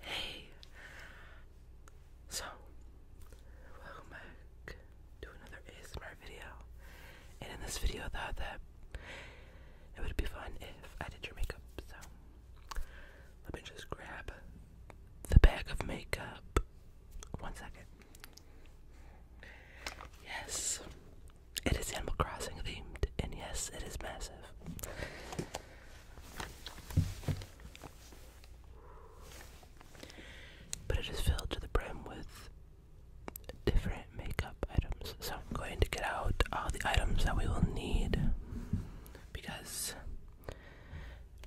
Hey! So, welcome back to another ASMR video. And in this video, I thought that it would be fun if I did your makeup. So, let me just grab the bag of makeup. One second. Yes, it is Animal Crossing themed, and yes, it is massive. But it is filled to the brim with different makeup items. So I'm going to get out all the items that we will need because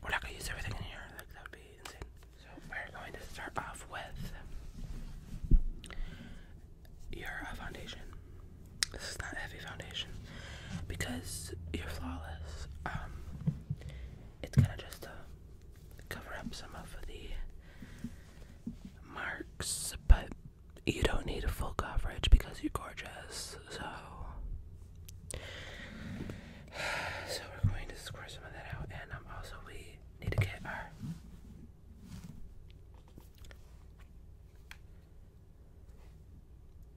we're not going to use everything in here. Like that would be insane. So we're going to start off with you're a foundation. This is not heavy foundation because you're flawless. Um, it's kind of just to uh, cover up some of the marks, but you don't need a full coverage because you're gorgeous. So, so we're going to square some of that out, and um, also we need to get our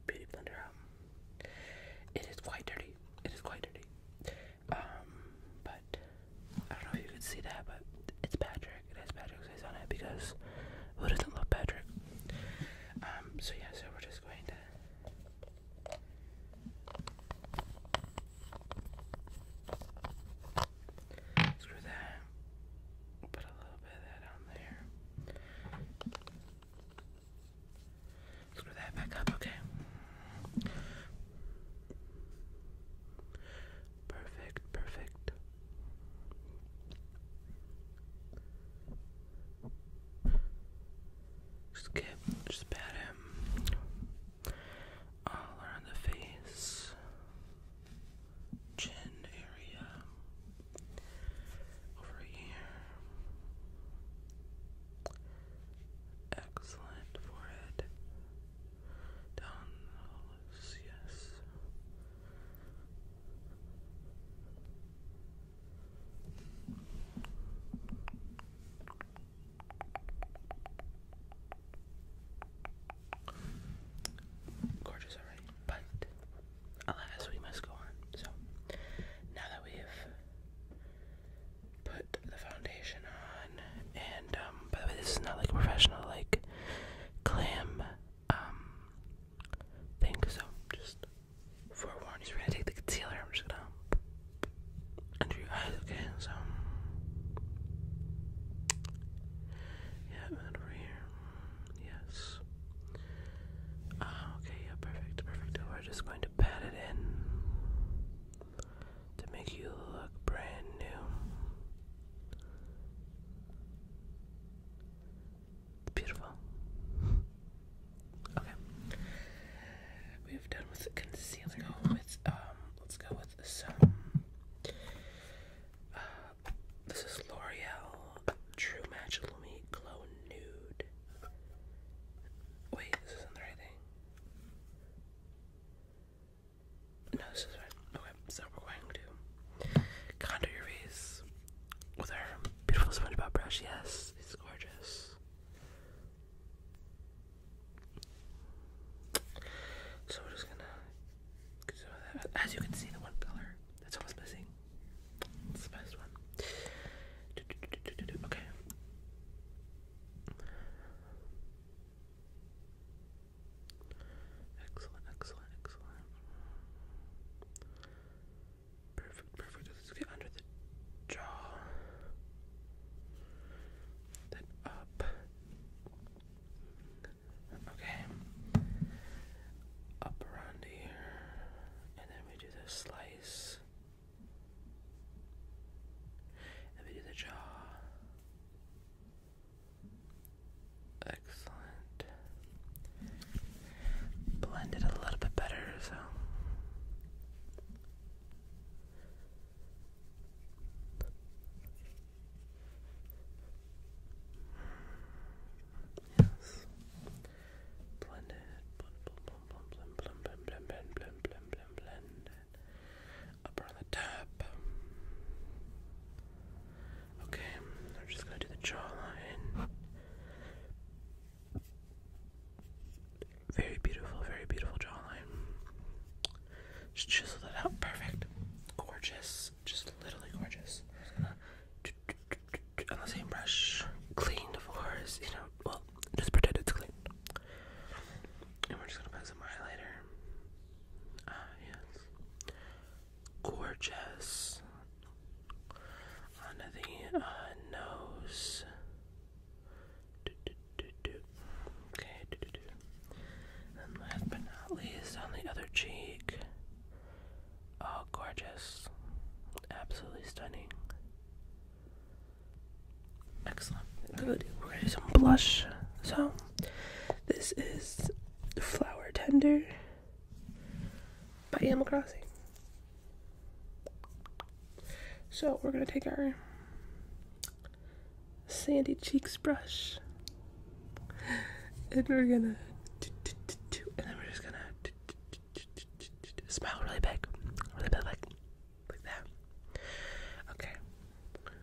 beauty blender um, It is quite dirty. It is quite dirty. Um, but I don't know if you can see that, but it's Patrick. It has Patrick's face on it because who doesn't love Patrick? Um, so yeah, we're just going to. Screw that put a little bit of that on there. Screw that back up, okay? Perfect, perfect. Just get, just pat him all around the face chin area, over here. Excellent forehead. Down the yes. Gorgeous, alright. But alas, we must go on. So now that we have put the foundation on, and um, by the way, this is not like a professional like glam um, thing. So just forewarned, we're gonna take the concealer. I'm just gonna under your eyes. Okay, so. Yeah, over here. Yes. Ah, okay, yeah, perfect, perfect. We're just going to pat it in to make you look brand new. Beautiful. Okay. We've done with concealer. let's go with with um, uh, this is L'Oreal True Match Lumi Glow Nude. Wait, this isn't the right thing. No, this is right. Okay, so we're going to contour your face with our beautiful SpongeBob brush. Yes, it's gorgeous. So we're just gonna As you can see, the one color that's almost missing. It's the best one. Okay. Excellent, excellent, excellent. Perfect, perfect. Let's get under the jaw. Then up. Okay. Up around here. And then we do the slice. And we do the jaw. Excellent. Blend it a little bit better, so Yes. Blend it. Blend, blend, blend, blend, blend, blend, blend, blend, blend, blend. Up on the top. Okay, I'm just gonna do the jawline. Very beautiful, very beautiful jawline. Just chisel that out. Perfect. Gorgeous. Just literally gorgeous. on the same brush, clean the fours, you know, well, just pretend it's clean. And we're just gonna put some highlighter. Ah, yes. Gorgeous. Under the uh, nose. Okay, And last but not least, on the other cheek. Oh, gorgeous. Absolutely stunning. Excellent. Good. We're going to do some blush. So, this is Flower Tender by Animal Crossing. So, we're going to take our sandy cheeks brush and we're gonna and then we're just gonna smile really big really big like that okay okay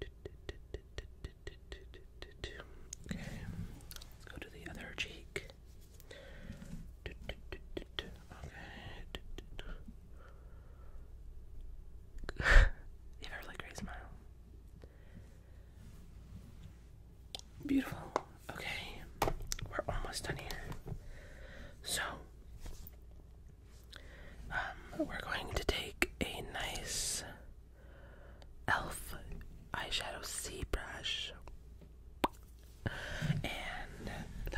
let's go to the other cheek you have a really great Beautiful. Okay, we're almost done here. So, um, we're going to take a nice elf eyeshadow sea brush and the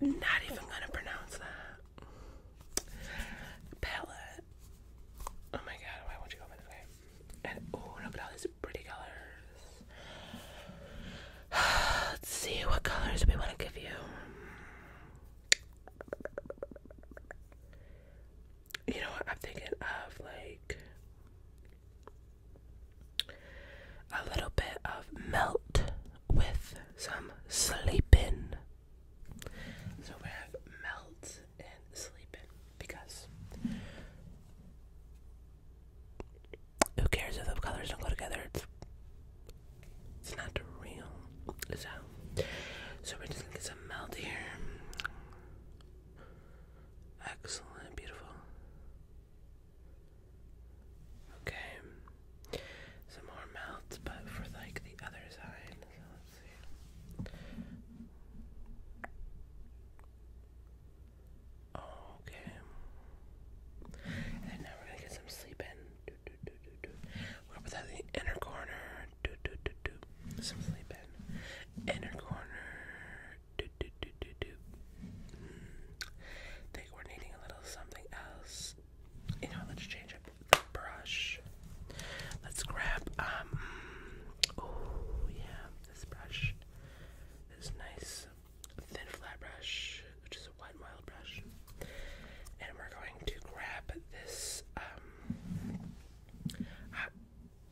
not even gonna pronounce that palette. Oh my god, why won't you go this way? And oh, look at all these pretty colors. Let's see what colors we want to give you. You know what? I'm thinking of like a little bit of melt with some sleeping. So we have melt and sleeping because who cares if the colors don't go together? It's it's not real. So so we're just gonna some melt here. Excellent, beautiful. Okay, some more mouths, but for like the other side. let's see. okay. And now we're gonna get some sleep in. We're gonna the inner corner. Do, do, do, do. Some sleep in. Inner corner do, do, do, do, do. Mm. Think we're needing a little something else. You know, let's change up the brush. Let's grab, um, oh yeah, this brush. This nice thin flat brush, which is a white mild brush. And we're going to grab this, um, hot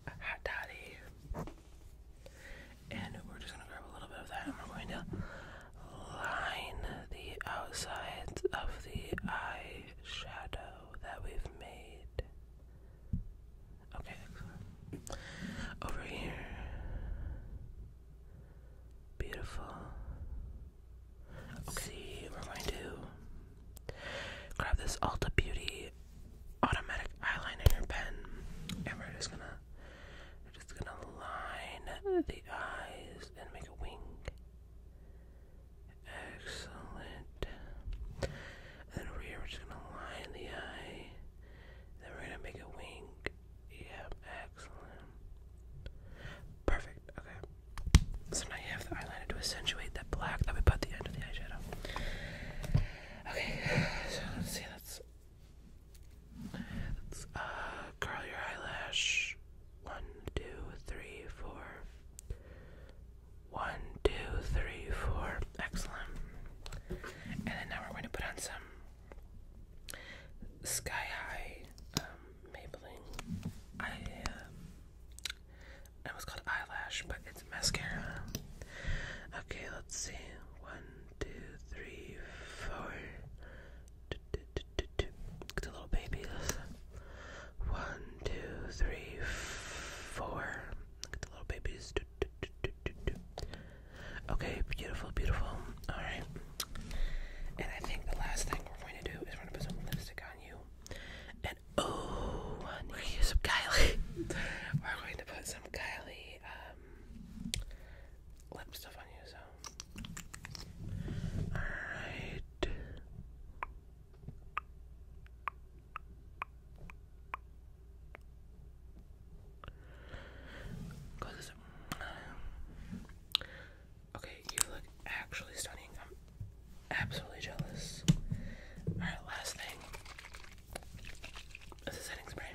hot toddy. And we're just gonna grab a little bit of that and we're going to line the outsides of the eye shadow that we've made. Okay, Over here. Beautiful. Okay, we're Grab this Ulta Beauty automatic eyeliner pen, and we're just gonna we're just gonna line the eyes and make a wing. Excellent. then we're just gonna line the eye. Then we're gonna make a wing. Yep, excellent. Perfect. Okay. So now you have the eyeliner to accentuate black that we put the end of the eyeshadow. Okay, so let's see. Let's, uh, curl your eyelash. One, two, three, four. One, two, three, four. Excellent. And then now we're going to put on some sky high um, Maybelline uh, it was called eyelash, but it's mascara. Okay, let's see. One, two, three, four. It's a little baby. One, two, three, four. Look at the little babies. Okay, beautiful, beautiful. Alright. And I think the last thing we're going to do is we're going to put some lipstick on you. Oh, we're gonna use some Kylie. we're going to put some Kylie um, lip stuff on you. So, all right. Close this up. Okay, you look actually stunning. i um, Absolutely jealous. Alright, last thing is a setting spray.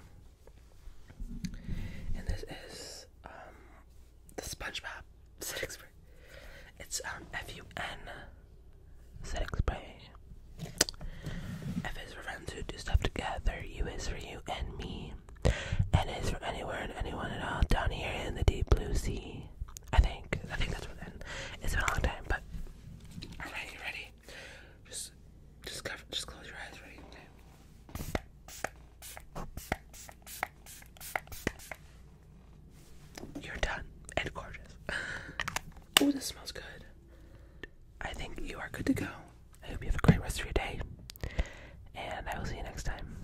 And this is um the SpongeBob setting spray. It's um F-U-N setting spray. F is for friends who do stuff together, U is for you and me. N is for anywhere and anyone at all down here in the deep blue sea. I think. I think that's what its It's been a long time, but alright, you ready? Just just cover just close your eyes, ready? You're done and gorgeous. Oh, this smells good. I think you are good to go. I hope you have a great rest of your day. And I will see you next time.